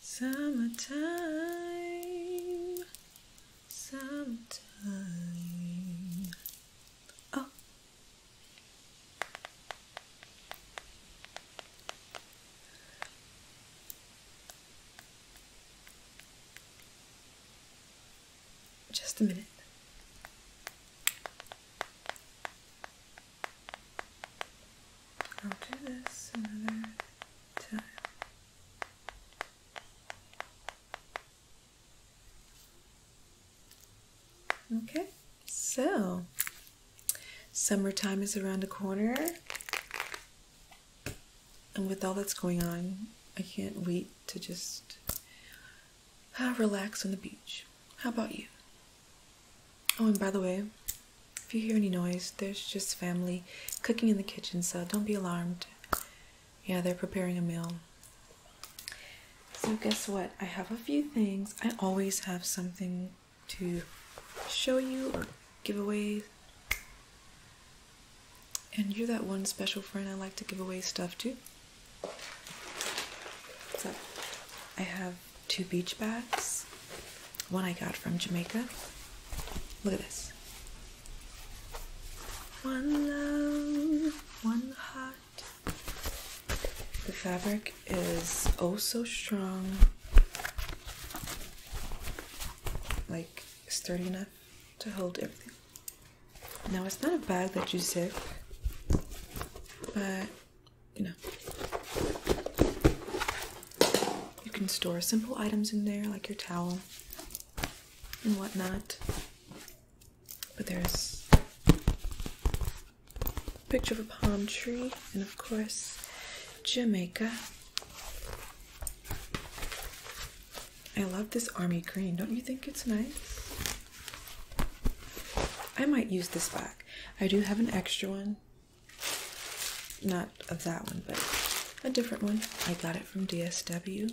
Summertime, summertime. Oh, just a minute. I'll do this another time. Okay, so summertime is around the corner, and with all that's going on, I can't wait to just uh, relax on the beach. How about you? Oh, and by the way, if you hear any noise, there's just family cooking in the kitchen, so don't be alarmed. Yeah, they're preparing a meal. So, guess what? I have a few things. I always have something to show you or give away. And you're that one special friend I like to give away stuff to. So I have two beach bags. One I got from Jamaica. Look at this. One love, one heart. The fabric is oh so strong. Like sturdy enough to hold everything. Now it's not a bag that you zip, but you know, you can store simple items in there like your towel and whatnot. But there's a picture of a palm tree, and of course, Jamaica. I love this army green. Don't you think it's nice? I might use this back. I do have an extra one. Not of that one, but a different one. I got it from DSW.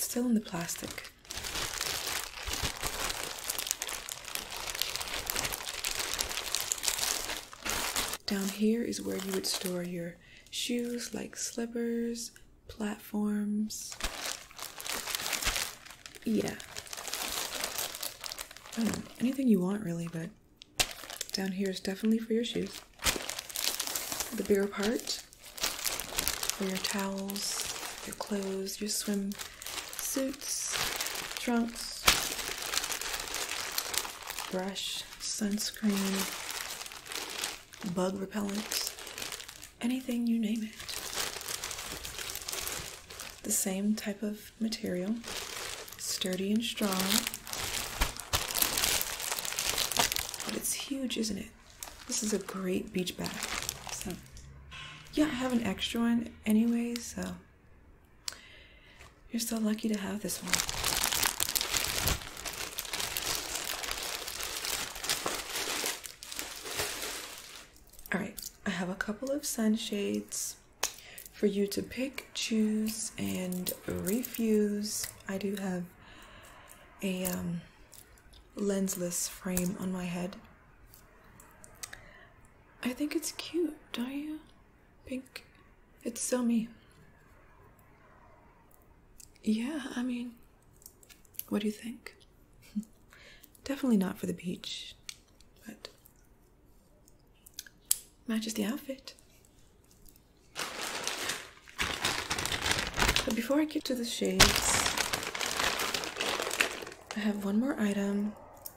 still in the plastic. Down here is where you would store your shoes like slippers, platforms. Yeah. anything you want really, but down here is definitely for your shoes. The bigger part for your towels, your clothes, your swim suits, trunks, brush, sunscreen, bug repellent, anything you name it. The same type of material, sturdy and strong. But it's huge, isn't it? This is a great beach bag. So, yeah, I have an extra one anyway, so you're so lucky to have this one. All right, I have a couple of sunshades for you to pick, choose, and refuse. I do have a um, lensless frame on my head. I think it's cute, don't you? Pink. It's so me. Yeah, I mean, what do you think? Definitely not for the beach, but matches the outfit. But before I get to the shades, I have one more item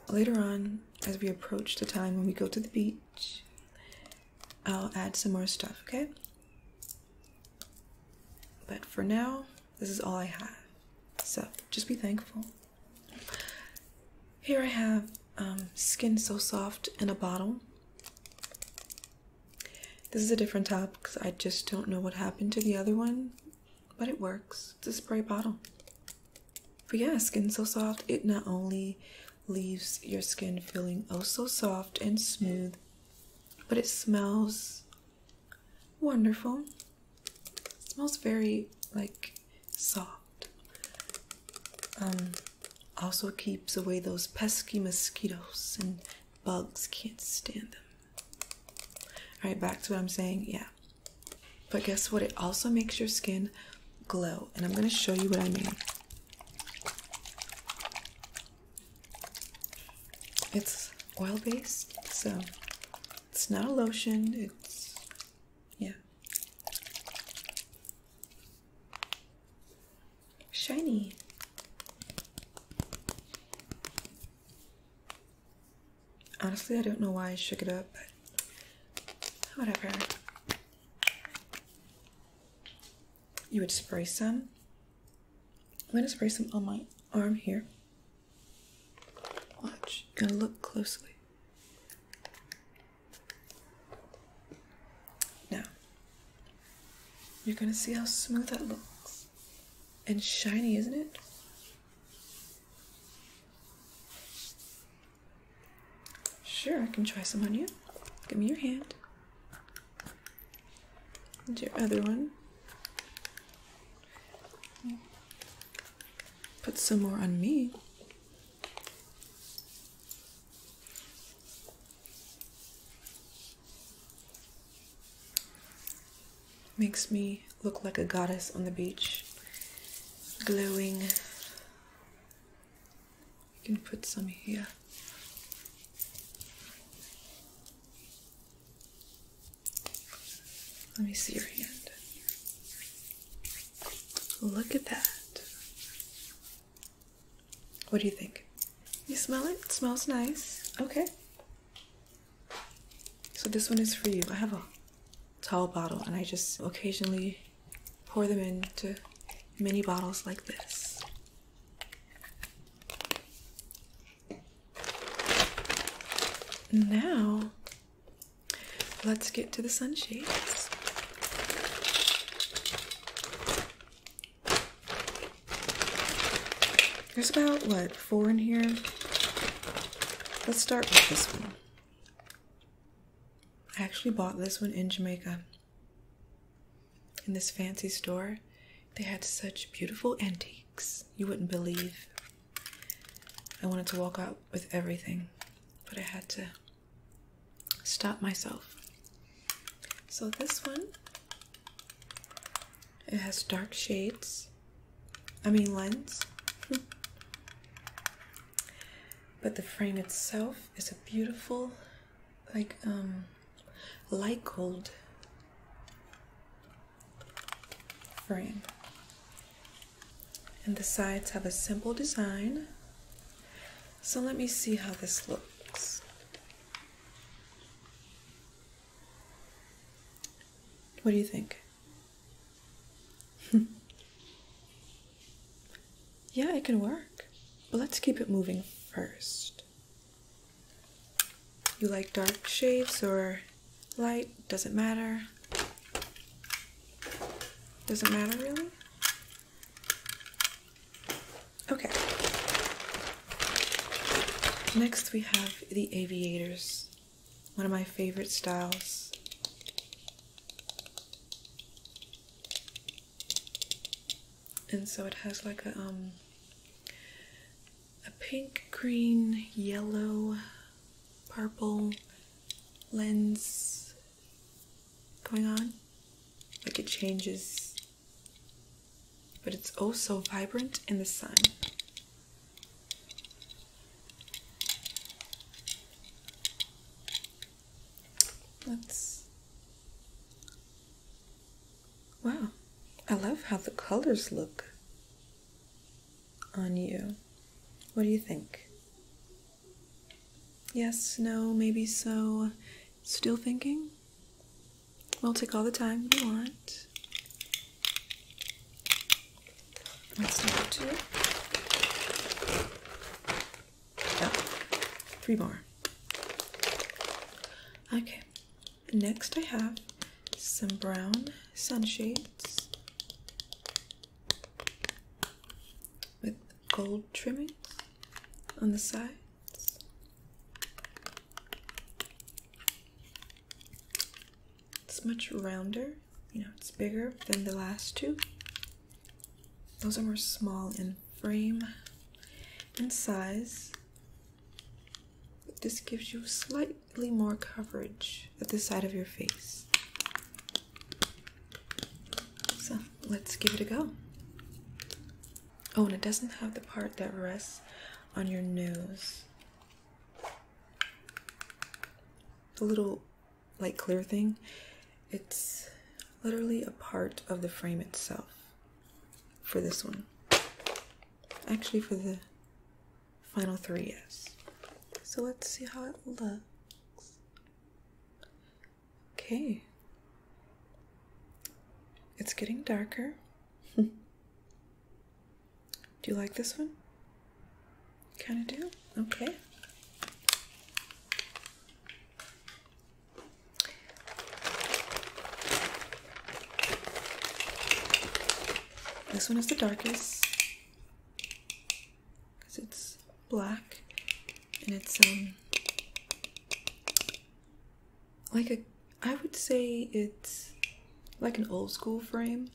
later on as we approach the time when we go to the beach I'll add some more stuff, okay? But for now, this is all I have. So just be thankful. Here I have um, Skin So Soft in a bottle. This is a different top because I just don't know what happened to the other one, but it works. It's a spray bottle. But yeah, skin so soft, it not only leaves your skin feeling oh so soft and smooth, but it smells wonderful. smells very like soft. Um, also keeps away those pesky mosquitoes and bugs can't stand them. All right, back to what I'm saying. Yeah. But guess what? It also makes your skin glow, and I'm going to show you what I mean. It's oil based, so it's not a lotion, it's yeah. Shiny. Honestly, I don't know why I shook it up, but whatever. You would spray some. I'm going to spray some on my arm here. Watch. You're going to look closely. Now, you're going to see how smooth that looks. And shiny, isn't it? Sure, I can try some on you. Give me your hand. And your other one. Put some more on me. Makes me look like a goddess on the beach, glowing you can put some here. Let me see your hand. Look at that. What do you think? You smell it? smells nice. Okay. So this one is for you. I have a tall bottle and I just occasionally pour them into mini bottles like this. Now, let's get to the sunshades. There's about, what, four in here? Let's start with this one. I actually bought this one in Jamaica. In this fancy store, they had such beautiful antiques you wouldn't believe. I wanted to walk out with everything, but I had to stop myself. So this one it has dark shades I mean, lens. but the frame itself is a beautiful, like, um, light gold frame. And the sides have a simple design. So let me see how this looks. What do you think? yeah, it can work. But let's keep it moving first. You like dark shades or light? Doesn't matter. Doesn't matter really? Okay. Next we have the aviators one of my favorite styles. And so it has like a um a pink, green, yellow, purple lens going on. Like it changes, but it's also oh vibrant in the sun. That's wow. I love how the colors look on you. What do you think? Yes, no, maybe so. Still thinking? We'll take all the time you want. That's number two. Oh, three more. Okay, next I have some brown sunshades with gold trimmings on the sides. It's much rounder, you know, it's bigger than the last two. Those are more small in frame and size. This gives you slightly more coverage at the side of your face. So let's give it a go. Oh, and it doesn't have the part that rests on your nose the little like clear thing it's literally a part of the frame itself for this one actually for the final three yes so let's see how it looks okay it's getting darker Do you like this one? Kind of do? Okay. This one is the darkest because it's black and it's um like a I would say it's like an old school frame.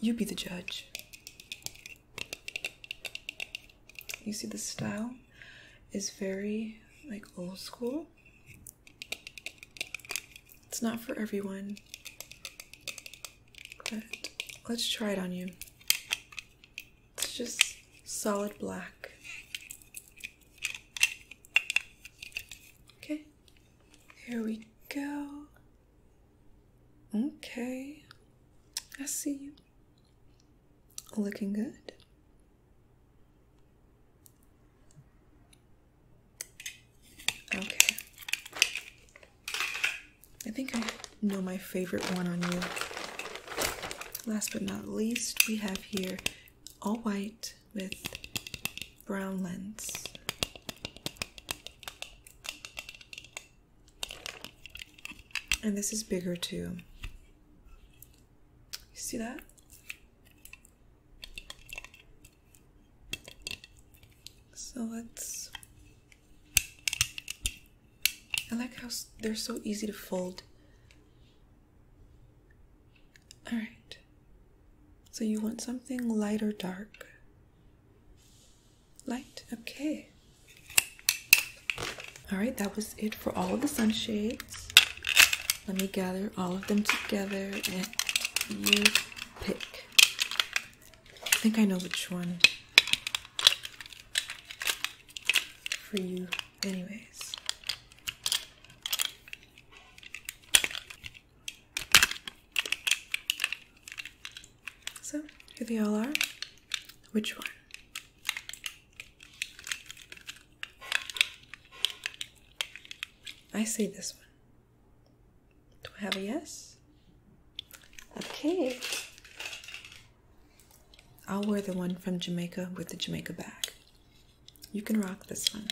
You be the judge. You see, the style is very like old school. It's not for everyone, but let's try it on you. It's just solid black. Okay, here we go. Okay, I see you. Looking good. Okay. I think I know my favorite one on you. Last but not least, we have here all white with brown lens. And this is bigger too. You see that? So let's. I like how they're so easy to fold all right. So you want something light or dark? Light? Okay. All right, that was it for all of the sunshades. Let me gather all of them together and you pick. I think I know which one for you. Anyways. So, here they all are. Which one? I say this one. Do I have a yes? Okay. I'll wear the one from Jamaica with the Jamaica bag. You can rock this one.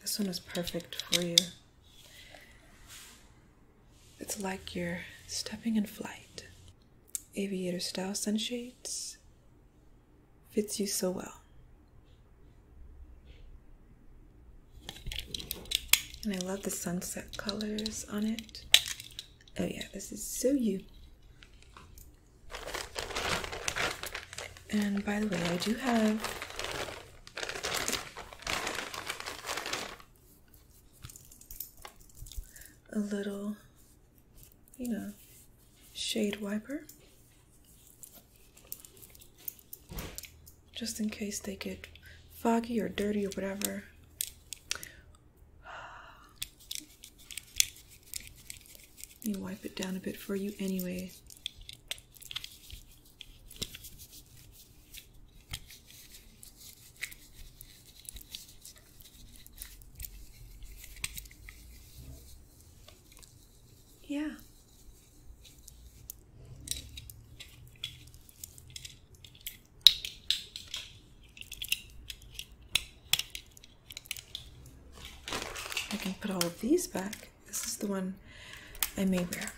This one is perfect for you. It's like you're stepping in flight. Aviator style sunshades fits you so well. And I love the sunset colors on it. Oh, yeah, this is so you. And by the way, I do have a little, you know, shade wiper just in case they get foggy or dirty or whatever let me wipe it down a bit for you anyway. Yeah. I can put all of these back. This is the one I may wear.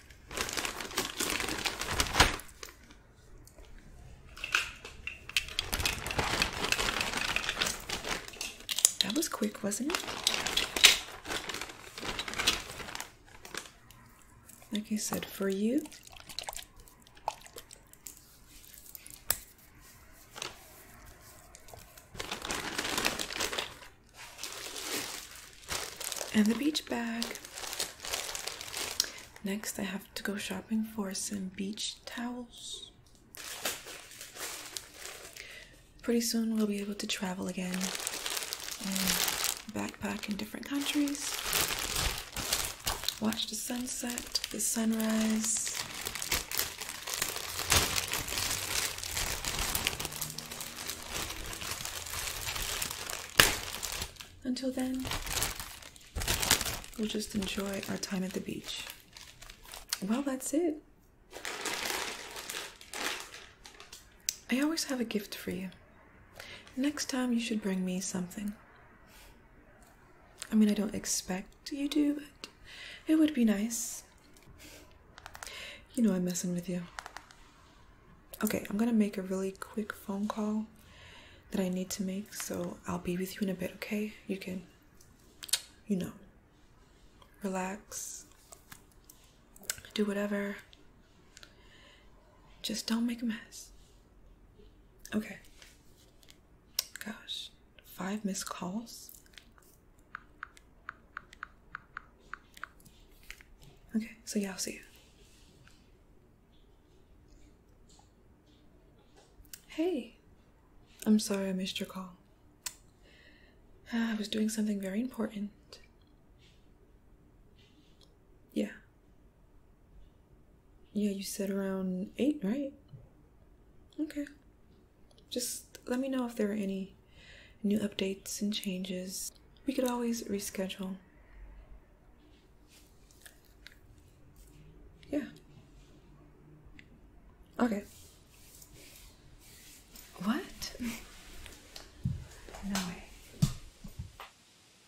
That was quick, wasn't it? Like I said, for you, and the beach bag. Next, I have to go shopping for some beach towels. Pretty soon, we'll be able to travel again and backpack in different countries watch the sunset, the sunrise. Until then, we'll just enjoy our time at the beach. Well, that's it. I always have a gift for you. Next time you should bring me something. I mean, I don't expect you to, but it would be nice. You know I'm messing with you. Okay, I'm gonna make a really quick phone call that I need to make, so I'll be with you in a bit, okay? You can, you know, relax, do whatever. Just don't make a mess. Okay. Gosh, five missed calls. Okay, so yeah, I'll see you. Hey, I'm sorry I missed your call. Ah, I was doing something very important. Yeah, yeah, you said around eight, right? Okay. Just let me know if there are any new updates and changes. We could always reschedule. Yeah. Okay. What? No way.